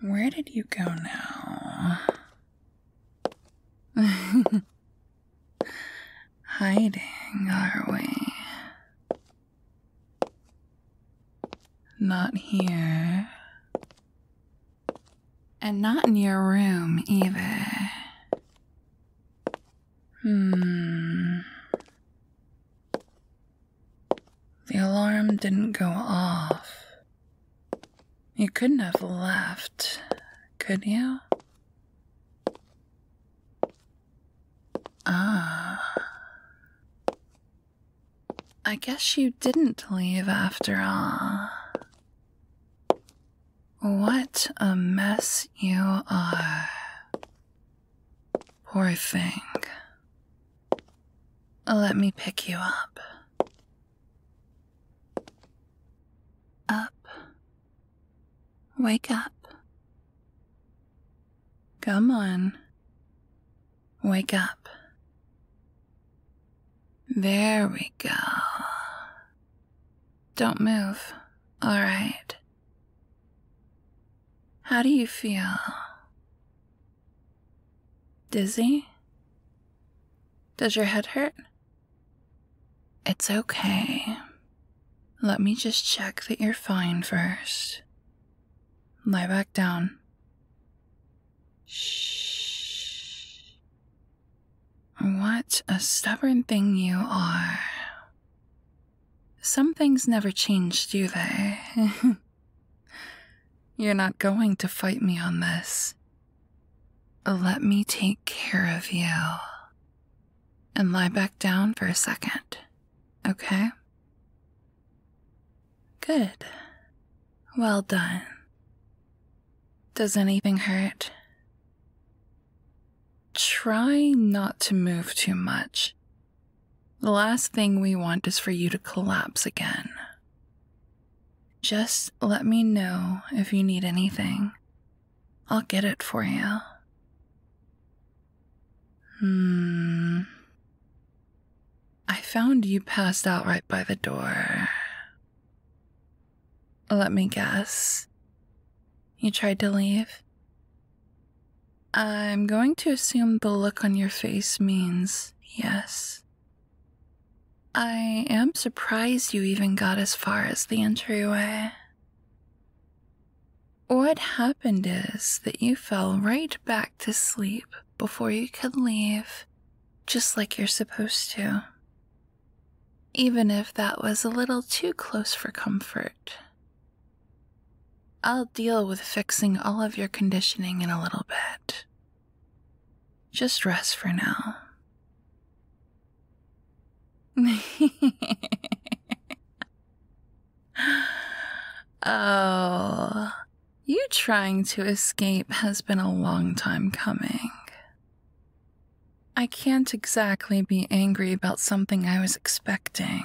Where did you go now? Hiding, are we? Not here. And not in your room either. Hmm. The alarm didn't go off. You couldn't have left, could you? Ah. I guess you didn't leave after all. What a mess you are. Poor thing. Let me pick you up. Up. Wake up. Come on. Wake up. There we go. Don't move. All right. How do you feel? Dizzy? Does your head hurt? It's okay. Let me just check that you're fine first. Lie back down. Shh. What a stubborn thing you are. Some things never change, do they? You're not going to fight me on this. Let me take care of you. And lie back down for a second, okay? Good. Well done. Does anything hurt? Try not to move too much. The last thing we want is for you to collapse again. Just let me know if you need anything. I'll get it for you. Hmm. I found you passed out right by the door. Let me guess. You tried to leave? I'm going to assume the look on your face means yes. I am surprised you even got as far as the entryway. What happened is that you fell right back to sleep before you could leave, just like you're supposed to even if that was a little too close for comfort. I'll deal with fixing all of your conditioning in a little bit. Just rest for now. oh, you trying to escape has been a long time coming. I can't exactly be angry about something I was expecting.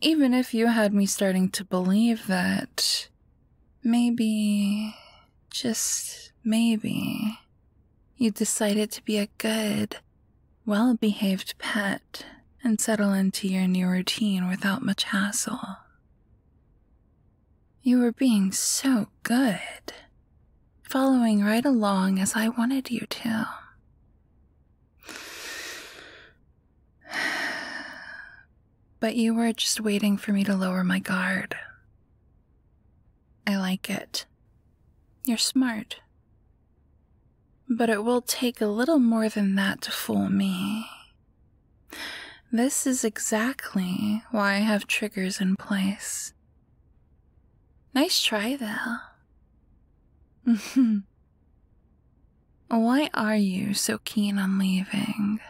Even if you had me starting to believe that maybe, just maybe, you decided to be a good, well behaved pet and settle into your new routine without much hassle. You were being so good, following right along as I wanted you to. But you were just waiting for me to lower my guard. I like it. You're smart. But it will take a little more than that to fool me. This is exactly why I have triggers in place Nice try, though. Mm-hmm. Why are you so keen on leaving?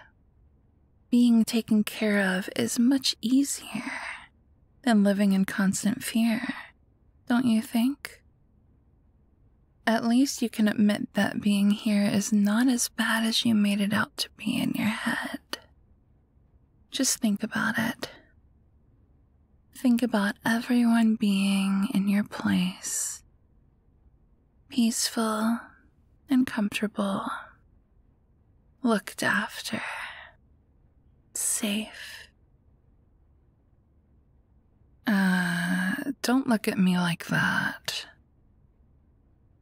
Being taken care of is much easier than living in constant fear, don't you think? At least you can admit that being here is not as bad as you made it out to be in your head. Just think about it. Think about everyone being in your place, peaceful and comfortable, looked after, safe. Uh, don't look at me like that.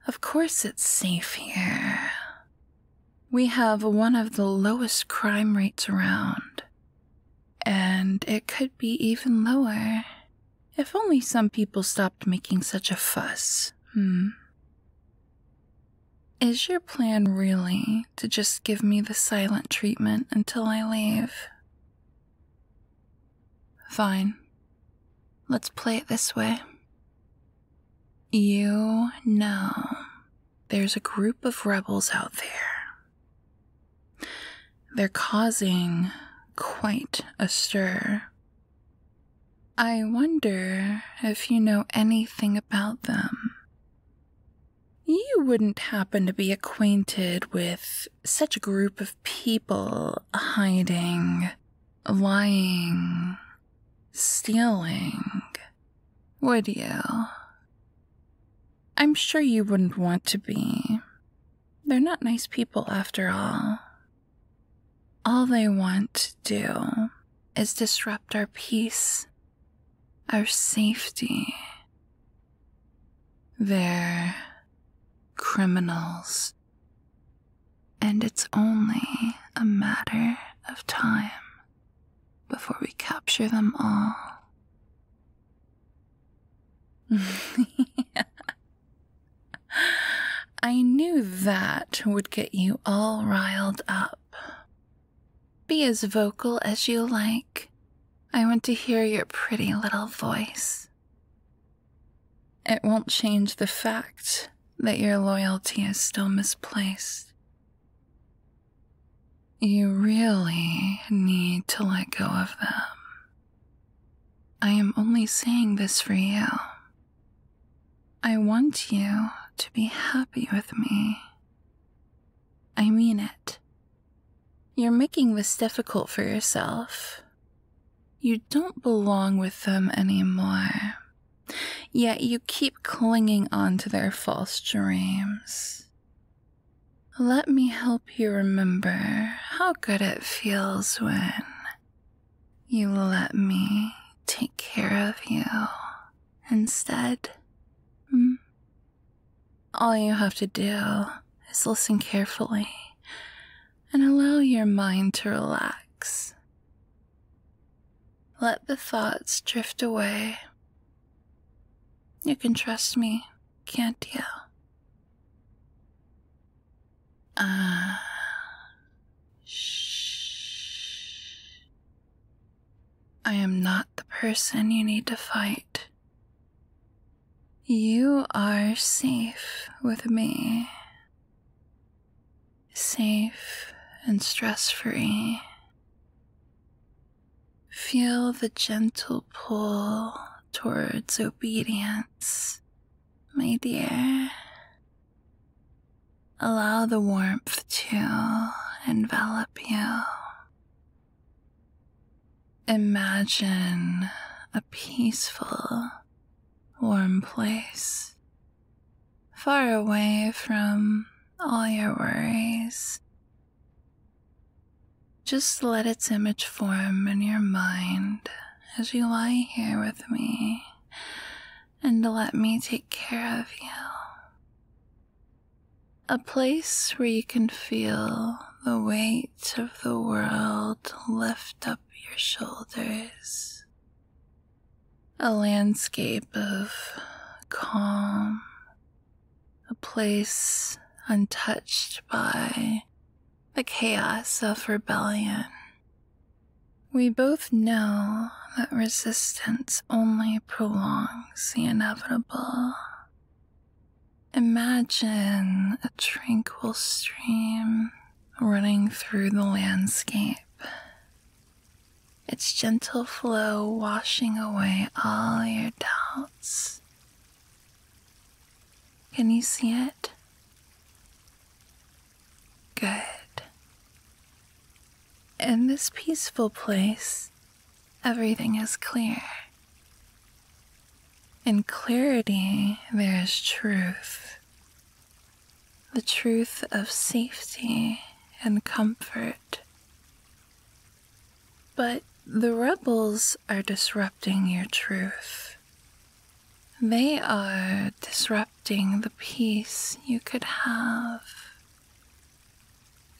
Of course, it's safe here. We have one of the lowest crime rates around, and it could be even lower if only some people stopped making such a fuss. Hmm. Is your plan really to just give me the silent treatment until I leave? Fine. Let's play it this way. You know, there's a group of rebels out there. They're causing quite a stir. I wonder if you know anything about them. You wouldn't happen to be acquainted with such a group of people hiding, lying, stealing, would you? I'm sure you wouldn't want to be. They're not nice people after all. All they want to do is disrupt our peace, our safety. They're criminals, and it's only a matter of time before we capture them all. I knew that would get you all riled up. Be as vocal as you like. I want to hear your pretty little voice. It won't change the fact that your loyalty is still misplaced. You really need to let go of them. I am only saying this for you. I want you to be happy with me. I mean it. You're making this difficult for yourself. You don't belong with them anymore. Yet you keep clinging on to their false dreams. Let me help you remember how good it feels when you let me take care of you instead. Hmm? All you have to do is listen carefully and allow your mind to relax. Let the thoughts drift away. You can trust me, can't you? Ah. Shh. I am not the person you need to fight. You are safe with me safe and stress free. Feel the gentle pull towards obedience, my dear. Allow the warmth to envelop you. Imagine a peaceful, warm place far away from all your worries. Just let its image form in your mind as you lie here with me and let me take care of you. A place where you can feel the weight of the world lift up your shoulders. A landscape of calm, a place untouched by the chaos of rebellion. We both know that resistance only prolongs the inevitable. Imagine a tranquil stream running through the landscape, its gentle flow washing away all your doubts. Can you see it? Good. In this peaceful place, everything is clear. In clarity, there is truth the truth of safety and comfort. But the rebels are disrupting your truth. They are disrupting the peace you could have.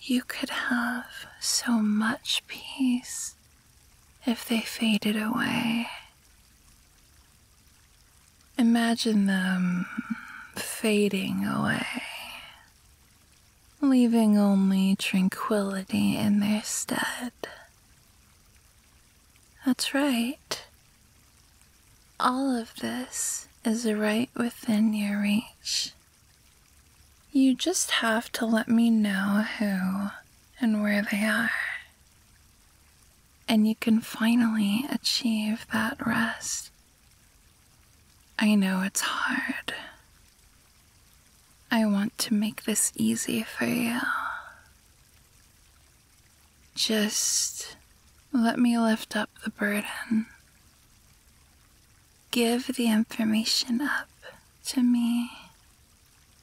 You could have so much peace if they faded away. Imagine them fading away, leaving only tranquility in their stead. That's right. All of this is right within your reach. You just have to let me know who and where they are. And you can finally achieve that rest I know it's hard. I want to make this easy for you. Just let me lift up the burden. Give the information up to me,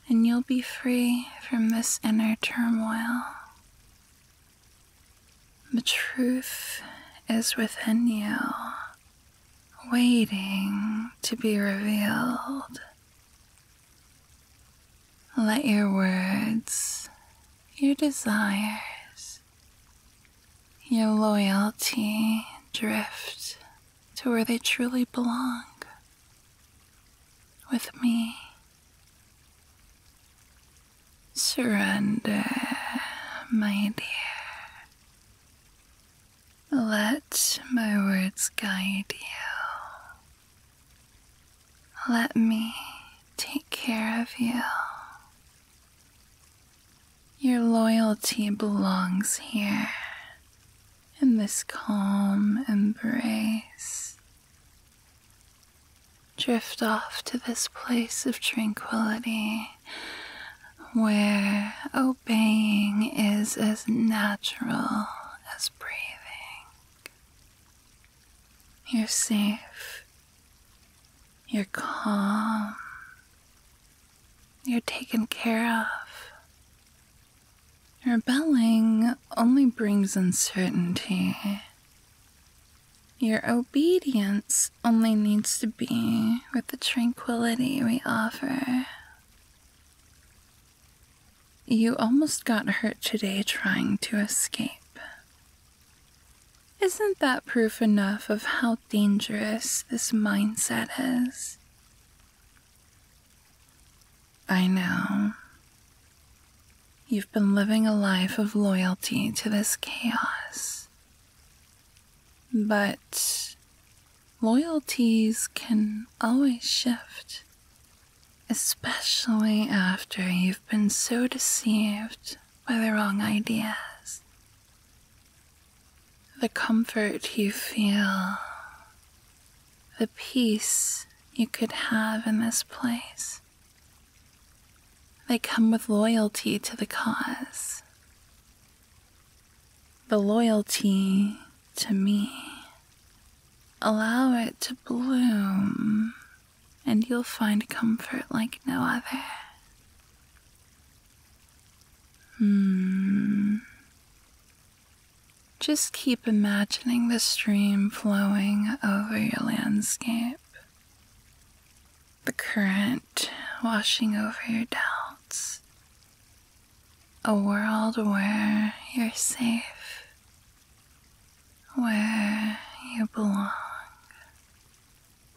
and you'll be free from this inner turmoil. The truth is within you, waiting to be revealed. Let your words, your desires, your loyalty drift to where they truly belong with me. Surrender, my dear. Let my words guide you. Let me take care of you. Your loyalty belongs here in this calm embrace drift off to this place of tranquility where obeying is as natural as breathing. You're safe. You're calm. You're taken care of. Rebelling only brings uncertainty. Your obedience only needs to be with the tranquility we offer. You almost got hurt today trying to escape. Isn't that proof enough of how dangerous this mindset is? I know. You've been living a life of loyalty to this chaos. But loyalties can always shift, especially after you've been so deceived by the wrong ideas. The comfort you feel, the peace you could have in this place they come with loyalty to the cause. The loyalty to me. Allow it to bloom, and you'll find comfort like no other. Hmm. Just keep imagining the stream flowing over your landscape the current washing over your doubts, a world where you're safe, where you belong.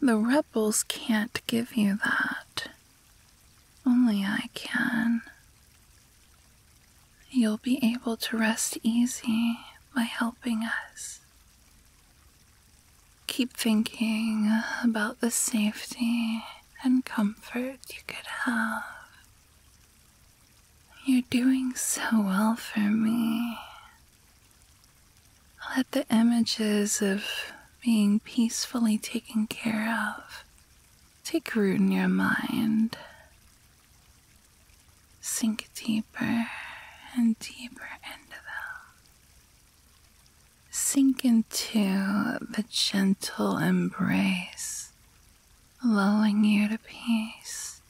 The rebels can't give you that. Only I can. You'll be able to rest easy by helping us. Keep thinking about the safety and comfort you could have. You're doing so well for me. Let the images of being peacefully taken care of take root in your mind Sink deeper and deeper into Sink into the gentle embrace, lulling you to peace.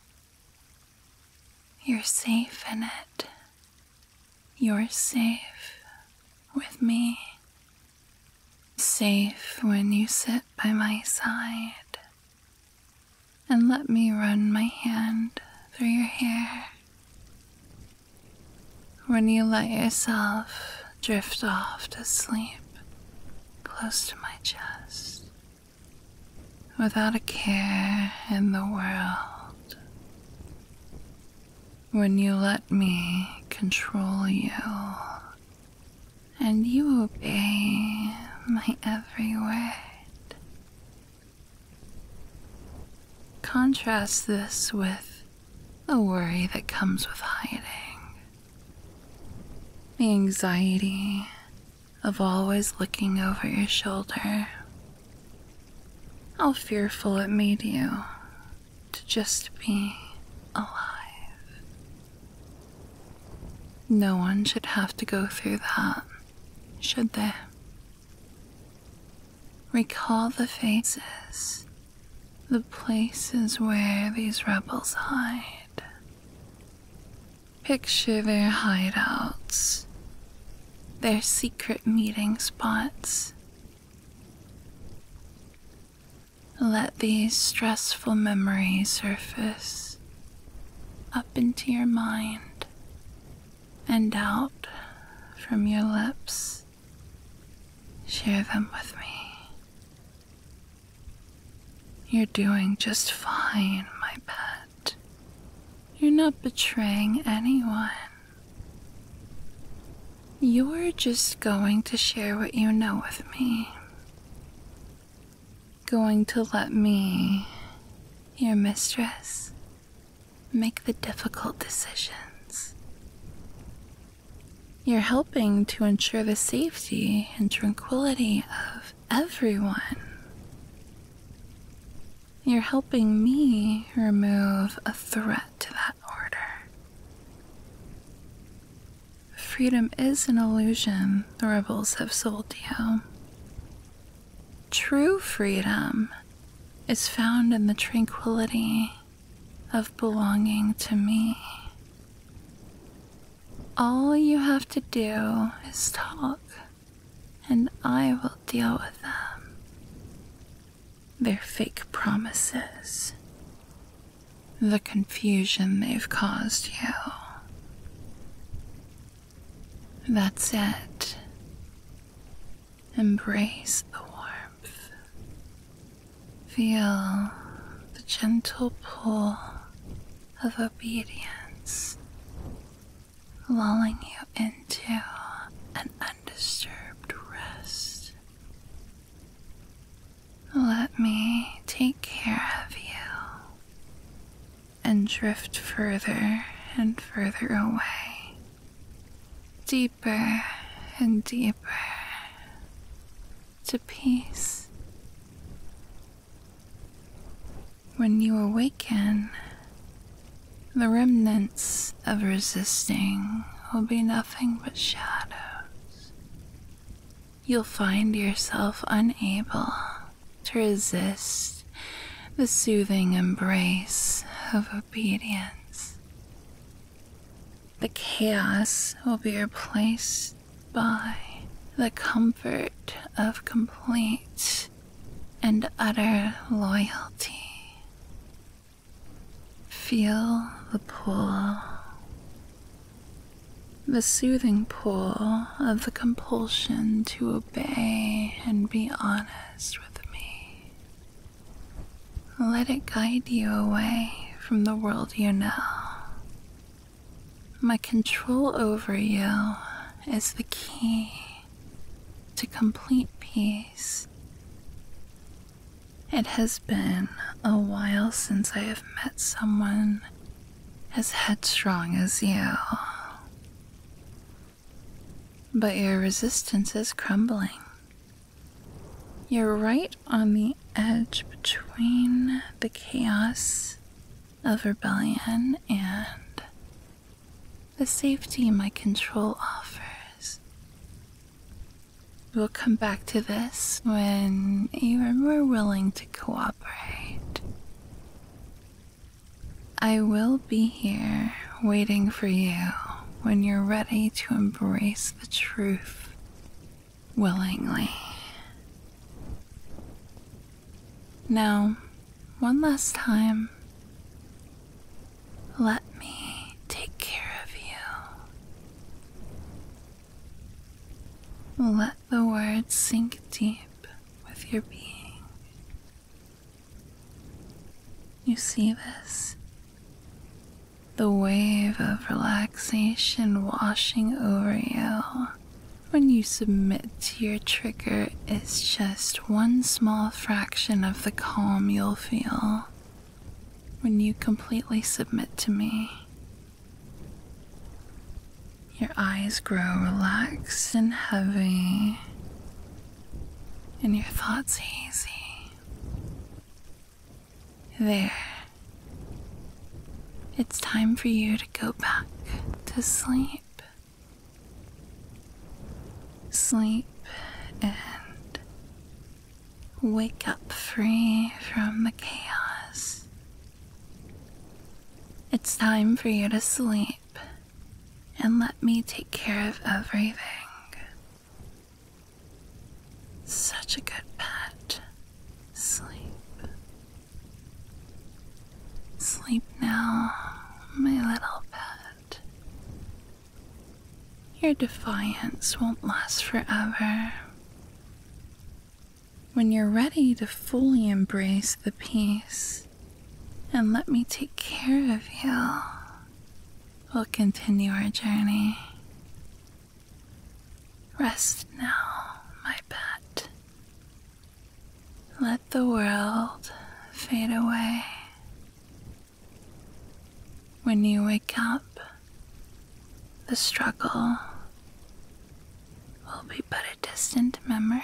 You're safe in it. You're safe with me. Safe when you sit by my side and let me run my hand through your hair. When you let yourself drift off to sleep close to my chest, without a care in the world, when you let me control you and you obey my every word. Contrast this with the worry that comes with hiding, the anxiety of always looking over your shoulder, how fearful it made you to just be alive. No one should have to go through that should they Recall the faces, the places where these rebels hide. Picture their hideouts, their secret meeting spots. Let these stressful memories surface up into your mind and out from your lips. Share them with me. You're doing just fine, my pet. You're not betraying anyone. You're just going to share what you know with me going to let me, your mistress, make the difficult decisions. You're helping to ensure the safety and tranquility of everyone. You're helping me remove a threat to that order. Freedom is an illusion the rebels have sold you. True freedom is found in the tranquility of belonging to me. All you have to do is talk, and I will deal with them. Their fake promises, the confusion they've caused you. That's it. Embrace the warmth. Feel the gentle pull of obedience, lulling you into an undisturbed rest. Let me take care of you and drift further and further away, deeper and deeper to peace. When you awaken, the remnants of resisting will be nothing but shadows. You'll find yourself unable to resist the soothing embrace of obedience. The chaos will be replaced by the comfort of complete and utter loyalty. Feel the pull, the soothing pull of the compulsion to obey obey and be honest with me. Let it guide you away from the world you know. My control over you is the key to complete peace. It has been a while since I have met someone as headstrong as you. But your resistance is crumbling. You're right on the edge between the chaos of rebellion and the safety my control offers. We'll come back to this when you are more willing to cooperate. I will be here waiting for you when you're ready to embrace the truth willingly. Now, one last time, let me take care of you. Let the words sink deep with your being. You see this? The wave of relaxation washing over you when you submit to your trigger is just one small fraction of the calm you'll feel when you completely submit to me. Your eyes grow relaxed and heavy, and your thoughts hazy. There. It's time for you to go back to sleep. Sleep and wake up free from the chaos. It's time for you to sleep and let me take care of everything. Such a good pet. Sleep. Sleep now, my little pet. Your defiance won't last forever when you're ready to fully embrace the peace and let me take care of you, we'll continue our journey. Rest now, my pet. Let the world fade away. When you wake up, the struggle will be but a distant memory.